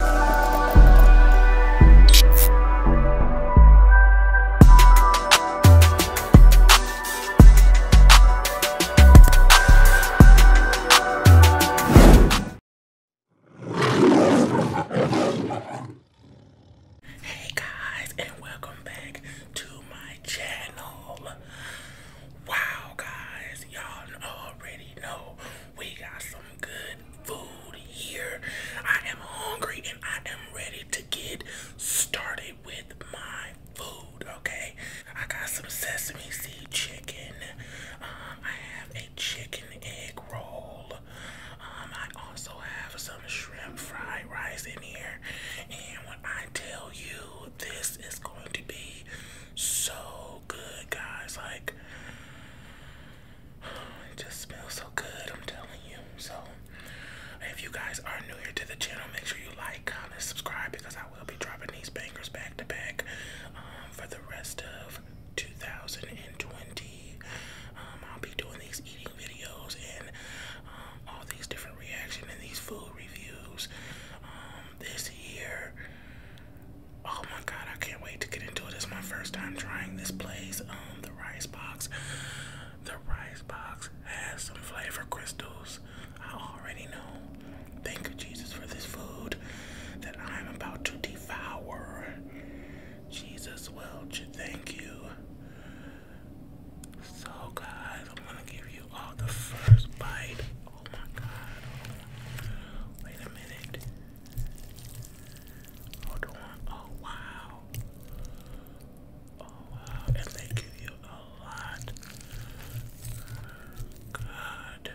Hey guys, and welcome back to my channel. Wow, guys, y'all already know we got some good food here. I am hungry and I am ready to get started with my food, okay? I got some sesame seed chicken. Um, I have a chicken egg roll. Um, I also have some shrimp fried rice in here. And when I tell you, this is going to be so good, guys. Like, it just smells so good, I'm telling you. So, if you guys are new here to the channel, make sure you like, comment, subscribe because I will be dropping these bangers back to back um, for the rest of 2020. Um, I'll be doing these eating videos and um, all these different reactions and these food reviews this year. Oh my god, I can't wait to get into it. It's my first time trying this place. Um, the rice box. The rice box has some flavor crystals. I already know. Thank you, Jesus, for this food that I'm about to devour. Jesus, Welch, thank you. So, guys, I'm gonna give you all the first bite Oh my god. Wait a minute. Hold on. Oh wow. Oh wow. And they give you a lot. God.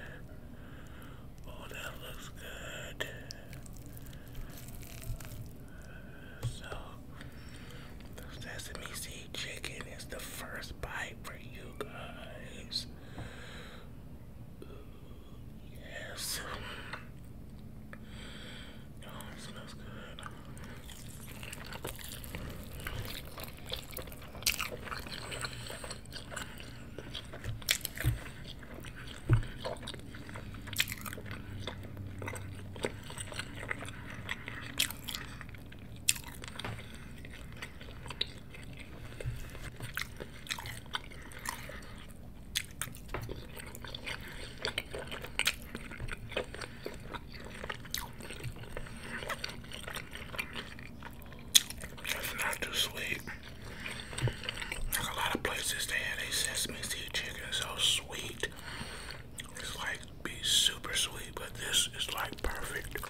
Oh, that looks good. So, the sesame seed chicken is the first bite for you guys. Yes. Oh, smells good. It's not too sweet. Like a lot of places they have a sesame seed chicken so sweet. It's like be super sweet, but this is like perfect.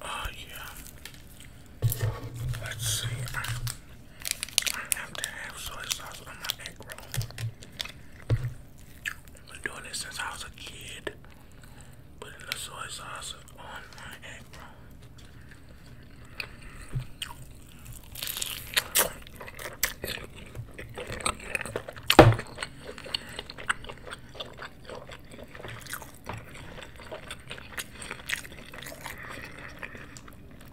Oh, yeah. Let's see. I have to have soy sauce on my egg roll. been doing this since I was a kid. Putting the soy sauce on my egg roll.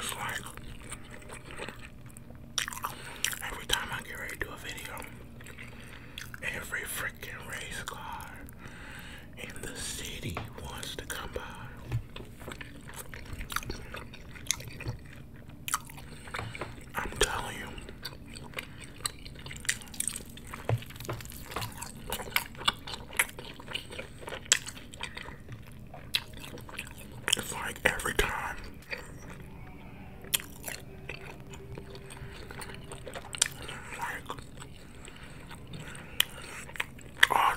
It's like every time I get ready to do a video. Every freaking race car in the city wants to come by. I'm telling you. It's like every time like all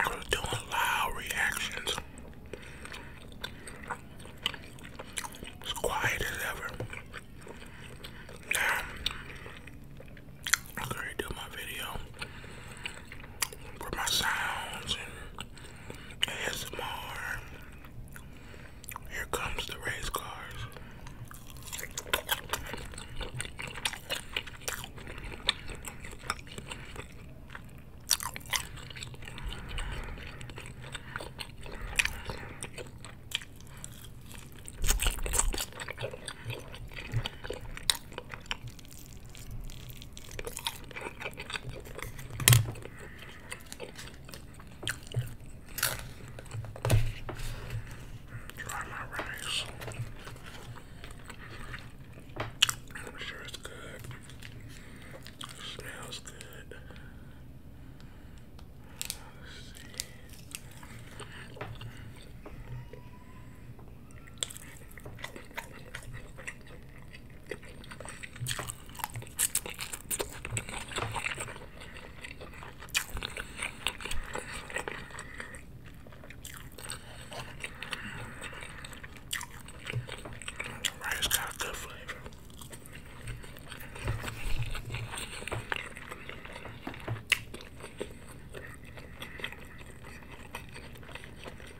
I was doing loud reactions. It's quiet as ever. Now, I could redo my video with my sounds and ASMR here comes the race cars. Dry my rice. I'm sure it's good. smells good. The rice got a good flavor. Oh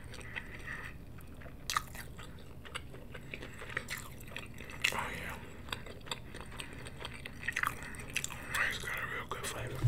yeah. It's got a real good flavor.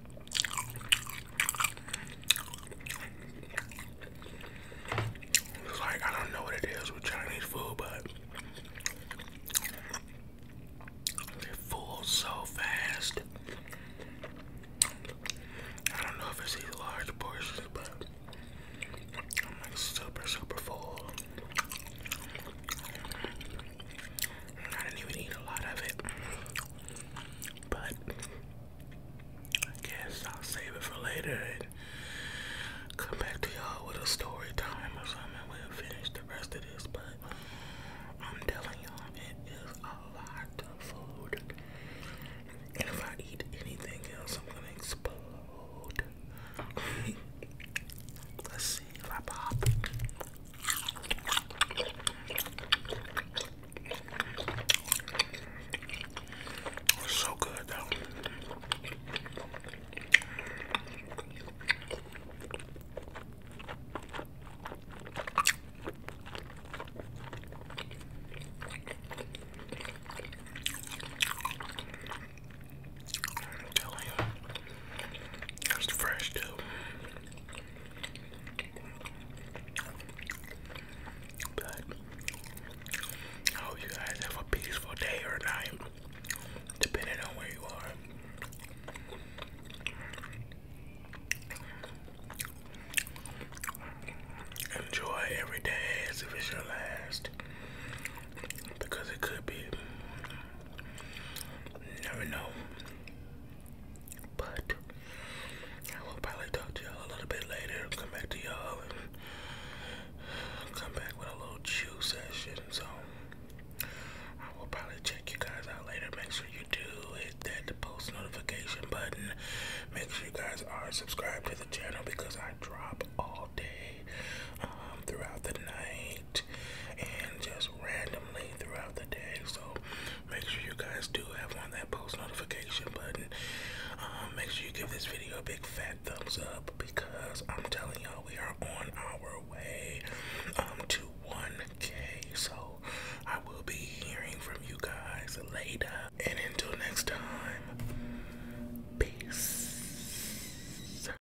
It's like, I don't know what it is with Chinese food, but they're full so fast. I don't know if it's these large portions, but I'm like super, super full. I didn't even eat a lot of it. But I guess I'll save it for later and come back to y'all with a story time or something. We'll finish the rest of this, but I'm telling y'all, it is a lot of food. And if I eat anything else, I'm gonna explode. Let's see if pop. It was so good though. I'm telling you. It's fresh too. But I hope you guys have a peaceful day or night, depending on where you are. Enjoy every day as if it's your last, because it could be never know. But I will probably talk to y'all a little bit later. Come back to y'all and come back with a little chew session. So I will probably check you guys out later. Make sure you do hit that post notification button. Make sure you guys are subscribed to the channel because I drop all day um, throughout the night and just randomly throughout the day. So make sure you guys do have on that post notification button. Um, make sure you give this video a big fat thumbs up because I'm telling y'all we are on our way um, to 1K. So I will be hearing from you guys later. And until next time, peace.